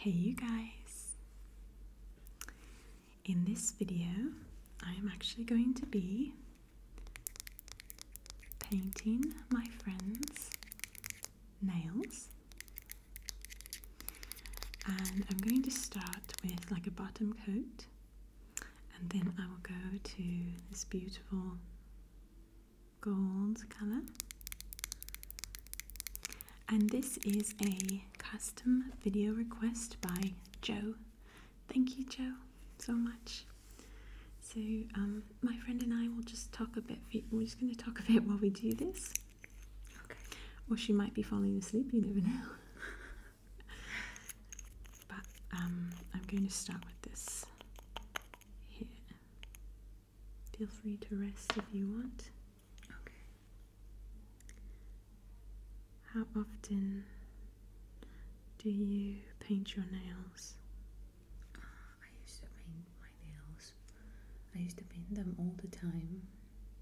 Hey you guys! In this video I am actually going to be painting my friend's nails and I'm going to start with like a bottom coat and then I will go to this beautiful gold color. And this is a custom video request by Joe. Thank you, Joe, so much. So, um, my friend and I will just talk a bit. We're just going to talk a bit while we do this. Okay. Or she might be falling asleep, you never know. but um, I'm going to start with this here. Feel free to rest if you want. Okay. How often do you paint your nails? I used to paint my nails. I used to paint them all the time,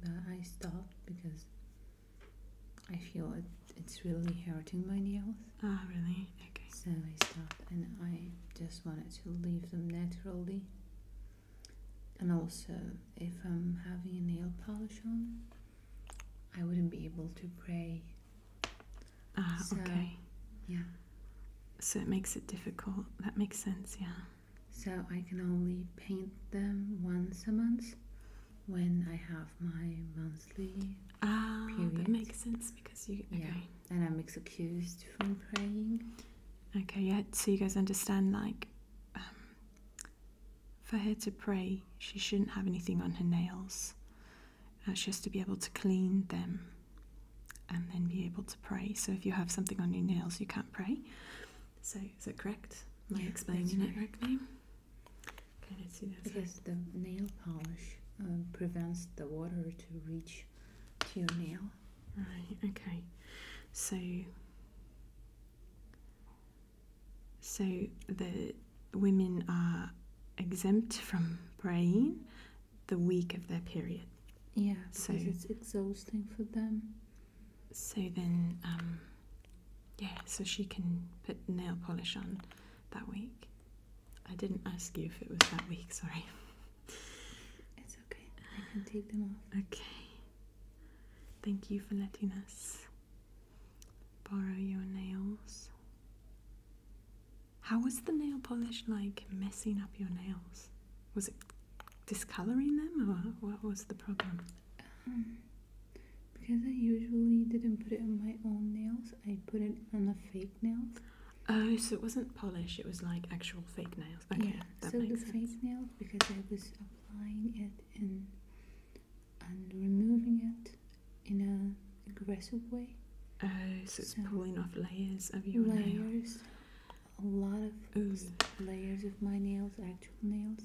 but I stopped because I feel it's really hurting my nails. Ah, really? So I start and I just wanted to leave them naturally. And also, if I'm having a nail polish on, I wouldn't be able to pray. Ah, so, okay. Yeah. So it makes it difficult. That makes sense, yeah. So I can only paint them once a month when I have my monthly. Ah, period. that makes sense because you. Okay. Yeah and I'm excused from praying. Okay, yeah, so you guys understand, like, um, for her to pray, she shouldn't have anything on her nails. Uh, she has to be able to clean them and then be able to pray. So if you have something on your nails, you can't pray. So is that correct? Am I explaining it correctly? Okay, let's see Because the nail polish uh, prevents the water to reach to your nail. Right, okay. So so the women are exempt from praying the week of their period. Yeah, so it's exhausting for them. So then, um, yeah, so she can put nail polish on that week. I didn't ask you if it was that week, sorry. It's okay. I can take them off. Okay. Thank you for letting us borrow your nails. How was the nail polish like messing up your nails? Was it discoloring them or what was the problem? Um, because I usually didn't put it on my own nails, I put it on the fake nails. Oh, so it wasn't polish, it was like actual fake nails. Okay, that so makes the sense. fake nails because I was applying it and and removing it in a aggressive way. Oh, so it's pulling off layers of your layers. A lot of layers of my nails, actual nails,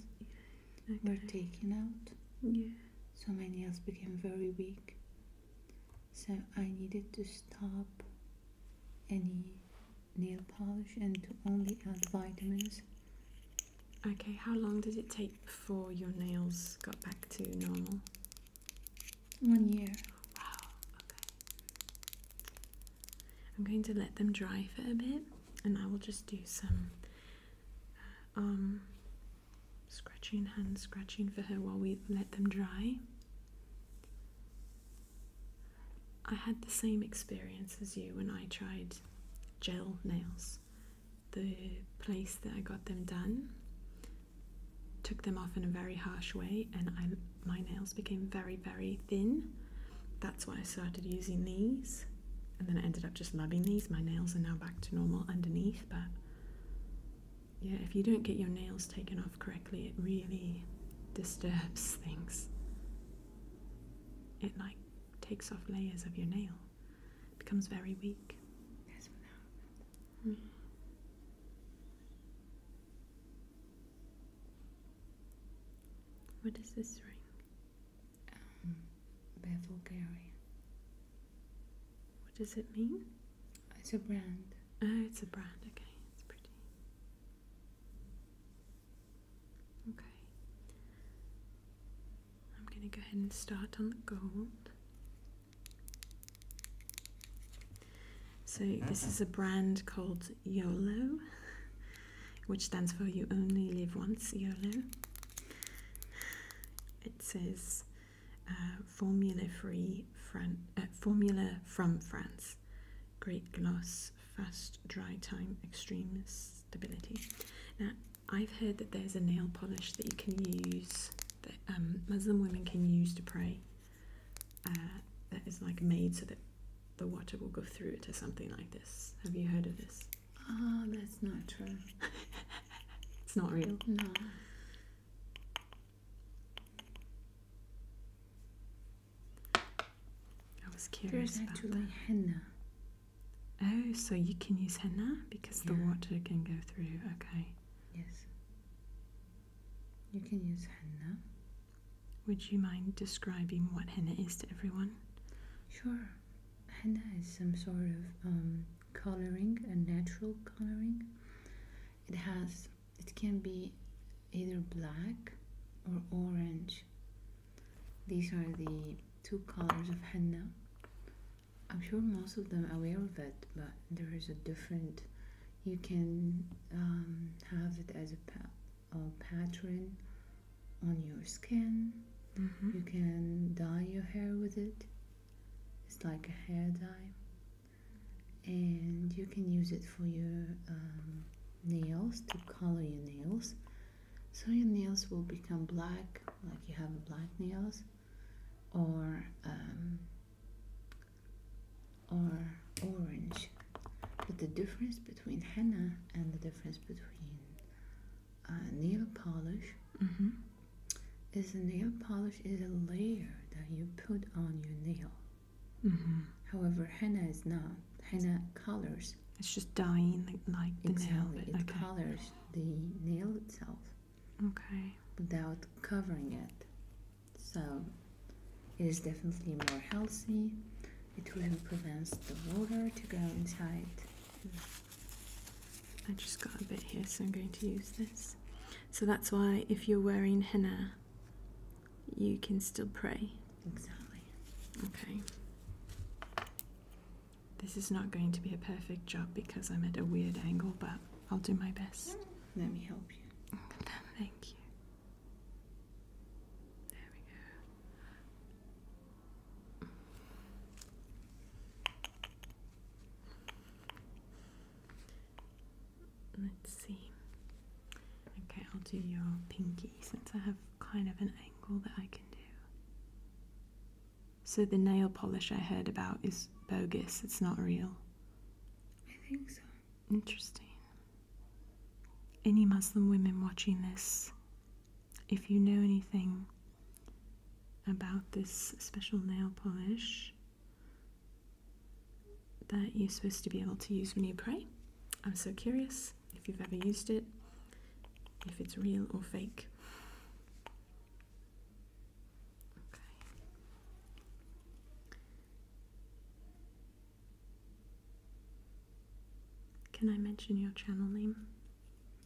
were taken out. Yeah. So my nails became very weak so I needed to stop any nail polish and to only add vitamins. Okay, how long did it take before your nails got back to normal? One year. Wow, okay. I'm going to let them dry for a bit and I will just do some uh, um, Scratching hands, scratching for her while we let them dry. I had the same experience as you when I tried gel nails. The place that I got them done took them off in a very harsh way, and I, my nails became very, very thin. That's why I started using these, and then I ended up just loving these. My nails are now back to normal underneath, but yeah, if you don't get your nails taken off correctly, it really disturbs things. It like takes off layers of your nail, becomes very weak. Hmm. What is this ring? Um, bevel gallery. What does it mean? It's a brand. Oh, it's a brand. Okay, it's pretty. Okay. I'm going to go ahead and start on the gold. So, this is a brand called YOLO, which stands for You Only Live Once, YOLO. It says uh, formula free Fran uh, formula from France. Great gloss, fast dry time, extreme stability. Now, I've heard that there's a nail polish that you can use that um, Muslim women can use to pray. Uh, that is like made so that the water will go through it or something like this. Have you heard of this? Ah, oh, that's not true. it's not real. No. I was curious There's actually henna. Oh, so you can use henna because the water can go through. Okay. Yes. You can use henna. Would you mind describing what henna is to everyone? Sure. Henna is some sort of um, coloring, a natural coloring it has it can be either black or orange these are the two colors of henna i'm sure most of them are aware of it but there is a different you can um, have it as a, pattern on your skin mm-hmm. you can dye your hair with it it's like a hair dye and you can use it for your um, nails to color your nails so your nails will become black like you have black nails or um, or orange but the difference between henna and the difference between uh, nail polish mm-hmm is nail polish is a layer that you put on your nail. Mm-hmm. However, henna is not. Henna colors. It's just dyeing like the exactly. nail. It colors the nail itself. Okay. Without covering it. So it is definitely more healthy. It will prevent the water to go inside. I just got a bit here, so I'm going to use this. So that's why if you're wearing henna, you can still pray. Exactly. Okay. This is not going to be a perfect job because I'm at a weird angle, but I'll do my best. Let me help you. Thank you. There we go. Let's see. Okay, I'll do your pinky since I have kind of an angle that I can do. So the nail polish I heard about is bogus, it's not real. I think so. Interesting. Any Muslim women watching this, if you know anything about this special nail polish, that you're supposed to be able to use when you pray. I'm so curious if you've ever used it, if it's real or fake. Can I mention your channel name?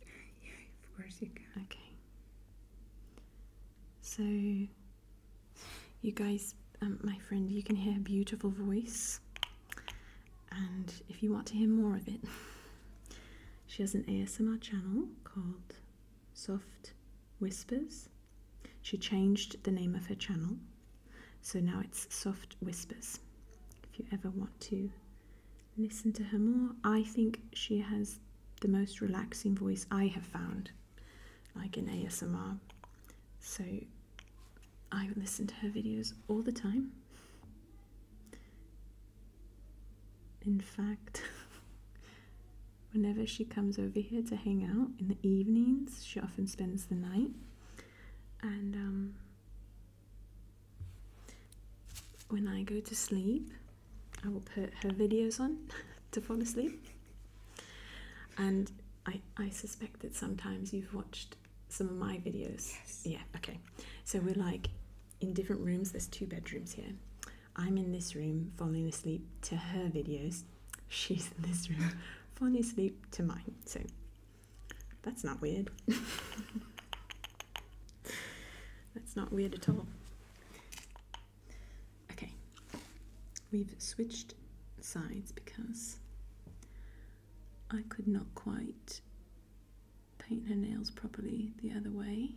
Yeah, of course you can. Okay. So, you guys, um, my friend, you can hear a beautiful voice, and if you want to hear more of it, she has an ASMR channel called Soft Whispers. She changed the name of her channel, so now it's Soft Whispers. If you ever want to listen to her more, I think she has the most relaxing voice I have found, like in ASMR. So I listen to her videos all the time. In fact, whenever she comes over here to hang out in the evenings, she often spends the night. And um, when I go to sleep, I will put her videos on to fall asleep. And I, I suspect that sometimes you've watched some of my videos. Yes. Yeah, okay. So we're like in different rooms, there's two bedrooms here. I'm in this room falling asleep to her videos. She's in this room falling asleep to mine. So that's not weird. That's not weird at all. Okay, we've switched sides because I could not quite paint her nails properly the other way.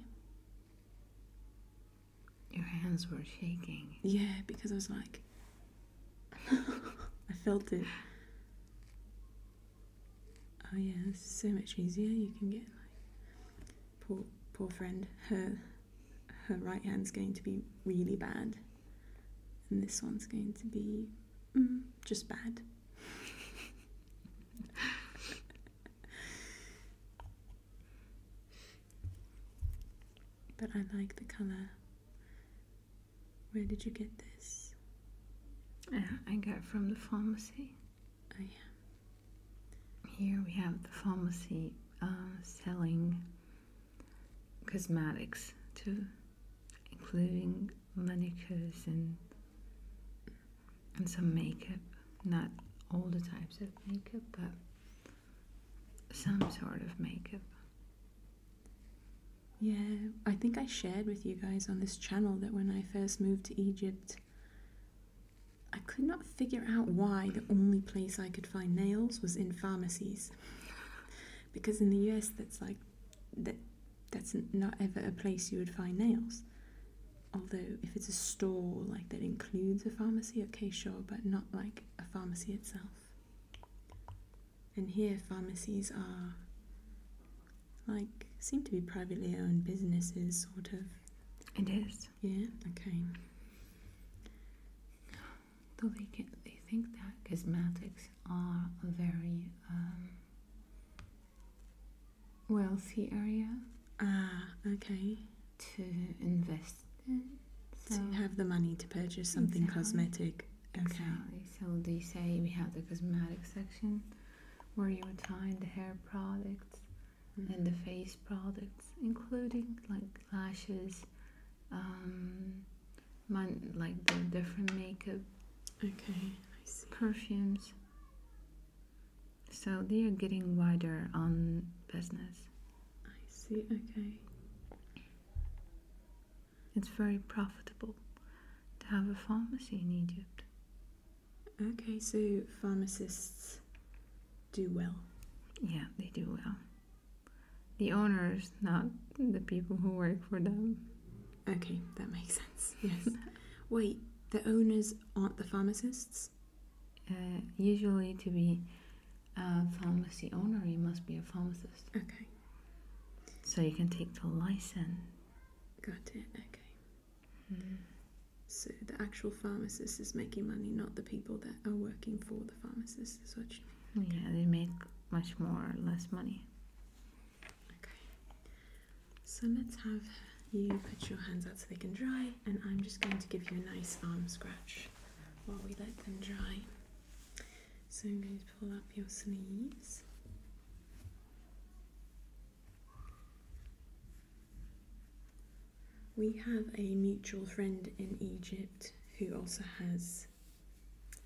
Your hands were shaking. Yeah, because I was like, I felt it. Oh yeah, so much easier. You can get like poor, poor friend, her, her right hand's going to be really bad, and this one's going to be mm, just bad. but I like the colour. Where did you get this? I got from the pharmacy. Here we have the pharmacy uh, selling cosmetics too, including manicures and and some makeup. Not all the types of makeup, but some sort of makeup. Yeah, I think I shared with you guys on this channel that when I first moved to Egypt, I could not figure out why the only place I could find nails was in pharmacies. because in the US, that's like, that, that's not ever a place you would find nails. Although, if it's a store like that includes a pharmacy, okay, sure, but not like a pharmacy itself. And here, pharmacies are like seem to be privately owned businesses, sort of. It is. Yeah. Okay. So they they think that cosmetics are a very um, wealthy area? Ah, okay. To invest to have the money to purchase something cosmetic. Okay. Exactly. So they say we have the cosmetic section where you would find the hair products, and the face products, including like lashes, um, like the different makeup. Okay, Perfumes. So they are getting wider on business. I see. Okay. It's very profitable to have a pharmacy in Egypt. Okay, so pharmacists do well. Yeah, they do well. The owners, not the people who work for them. Okay, that makes sense. Yes. Wait, the owners aren't the pharmacists? Uh, usually, to be a pharmacy owner, you must be a pharmacist. Okay. So you can take the license. Got it, okay. Mm-hmm. So the actual pharmacist is making money, not the people that are working for the pharmacist. Is what you mean? Yeah, they make much more or less money. Okay. So let's have you put your hands out so they can dry, and I'm just going to give you a nice arm scratch while we let them dry. So I'm going to pull up your sleeves. We have a mutual friend in Egypt who also has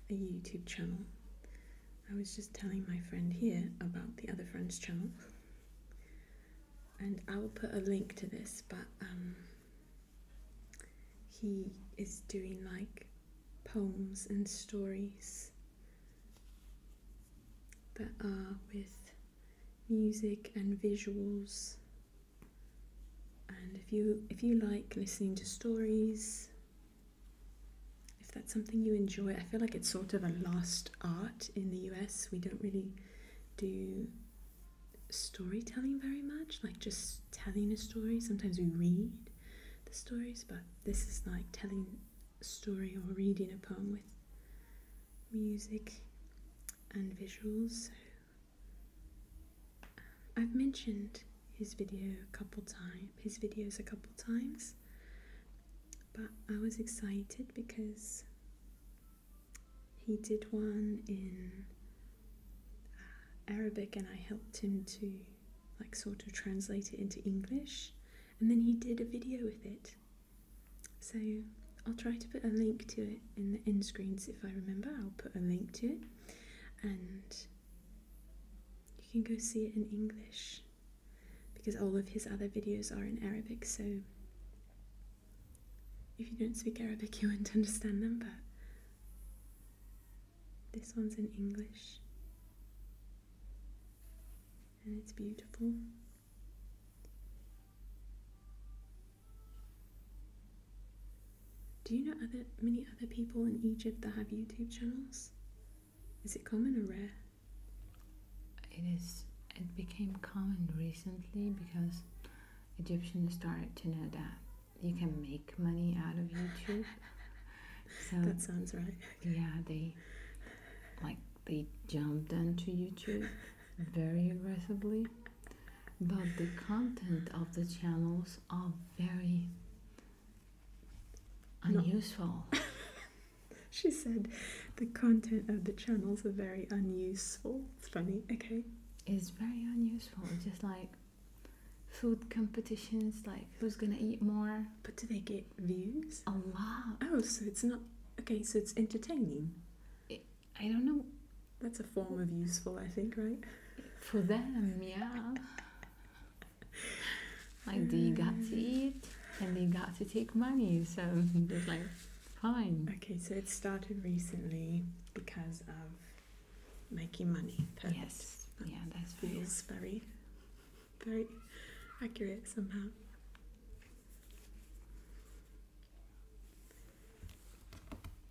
a YouTube channel. I was just telling my friend here about the other friend's channel, and I will put a link to this. But um, he is doing like poems and stories that are with music and visuals. And if you if you like listening to stories, if that's something you enjoy, I feel like it's sort of a lost art in the US. We don't really do storytelling very much, like just telling a story. Sometimes we read the stories, but this is like telling story or reading a poem with music and visuals. Um, I've mentioned his video a couple times, his videos a couple times, but I was excited because he did one in uh, Arabic and I helped him to like sort of translate it into English and then he did a video with it so I'll try to put a link to it in the end screens if I remember. I'll put a link to it and you can go see it in English because all of his other videos are in Arabic. So if you don't speak Arabic, you won't understand them, but this one's in English and it's beautiful. Do you know other many other people in Egypt that have YouTube channels? Is it common or rare? It is. It became common recently because Egyptians started to know that you can make money out of YouTube. so that sounds right. Yeah, they like they jumped onto YouTube very aggressively, but the content of the channels are very unuseful. she said the content of the channels are very unuseful. It's funny, okay. It's very unuseful, just like food competitions, like who's gonna eat more. But do they give views? A lot. Oh, so it's not okay. So it's entertaining. I don't know. That's a form of useful, I think, right? For them, yeah. like they mm. got to eat and they got to take money, so it's like, fine. Okay, so it started recently because of making money. Yes. yeah, that feels very very accurate somehow.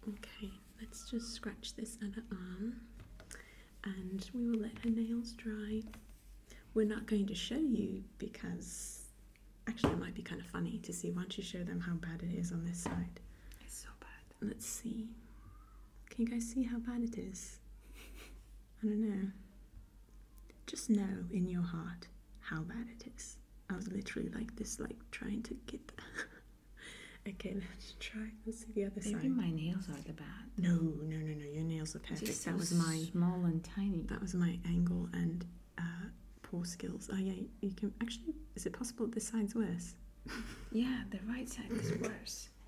Okay, let's just scratch this other arm and we will let her nails dry. We're not going to show you because actually it might be kind of funny to see Why don't you show them how bad it is on this side. It's so bad. Let's see. Can you guys see how bad it is? I don't know. Just know in your heart how bad it is. I was literally like this, like trying to get. okay, let's try. Let's see the other side. Maybe my nails are the bad. No, no, no, no. Your nails are perfect. that was my small and tiny. That was my angle and uh, poor skills. Oh yeah, you can actually. Is it possible this side's worse? yeah, the right side is worse.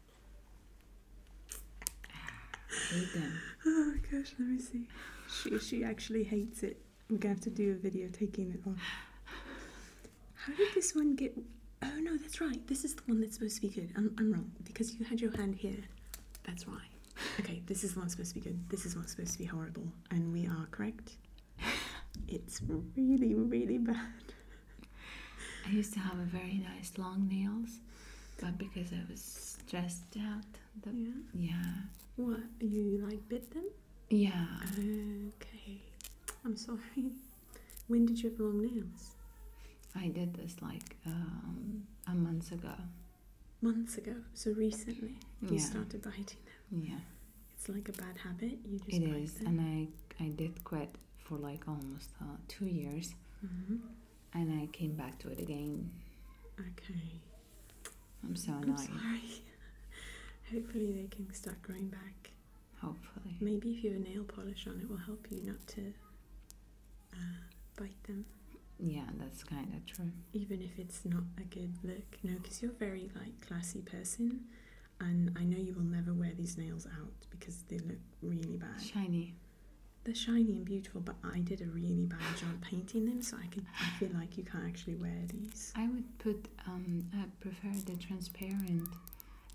Oh gosh, let me see. She she actually hates it. We're gonna have to do a video taking it off. How did this one get? Oh no, that's right. This is the one that's supposed to be good. I'm, I'm wrong because you had your hand here. That's right. Okay, this is the one supposed to be good. This is one supposed to be horrible, and we are correct. It's really really bad. I used to have very nice long nails but because I was stressed out. yeah. What you like bit them? Yeah. Okay. I'm sorry. When did you have long nails? I did this like um, a month ago. Months ago. So recently you started biting them. Yeah. It's like a bad habit. You just. It is, and I I did quit for like almost uh, two years. Mm-hmm and I came back to it again. Okay. I'm so annoyed. I'm sorry. Hopefully they can start growing back. Hopefully. Maybe if you have nail polish on, it will help you not to uh, bite them. Yeah, that's kind of true. Even if it's not a good look, no, because you're a very like classy person, and I know you will never wear these nails out because they look really bad. Shiny. They're shiny and beautiful, but I did a really bad job painting them, so I can. feel like you can't actually wear these. I would put. Um, I prefer the transparent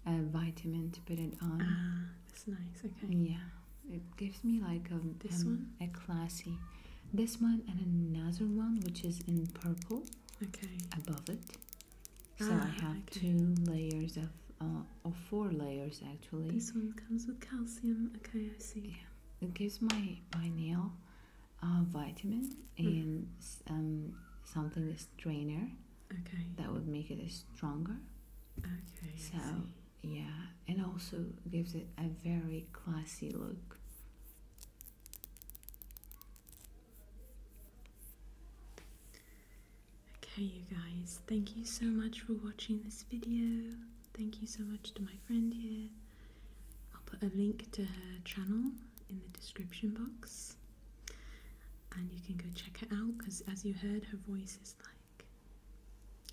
uh, vitamin to put it on. Ah, that's nice. Okay. Yeah, it gives me like a um, this um, one a classy. This one and another one, which is in purple. Okay. Above it, so ah, I have two layers of uh, or four layers this one comes with calcium. Okay, I see. it gives my my nail uh, vitamin mm. and um, something strainer. Okay. That would make it stronger. Okay. So yeah, and also gives it a very classy look. Okay, you guys, thank you so much for watching this video. Thank you so much to my friend here. I'll put a link to her channel in the description box and you can go check her out because, as you heard, her voice is like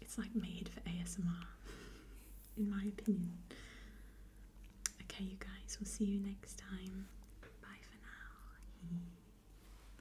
it's like made for ASMR, in my opinion. Okay, you guys, we'll see you next time. Bye for now.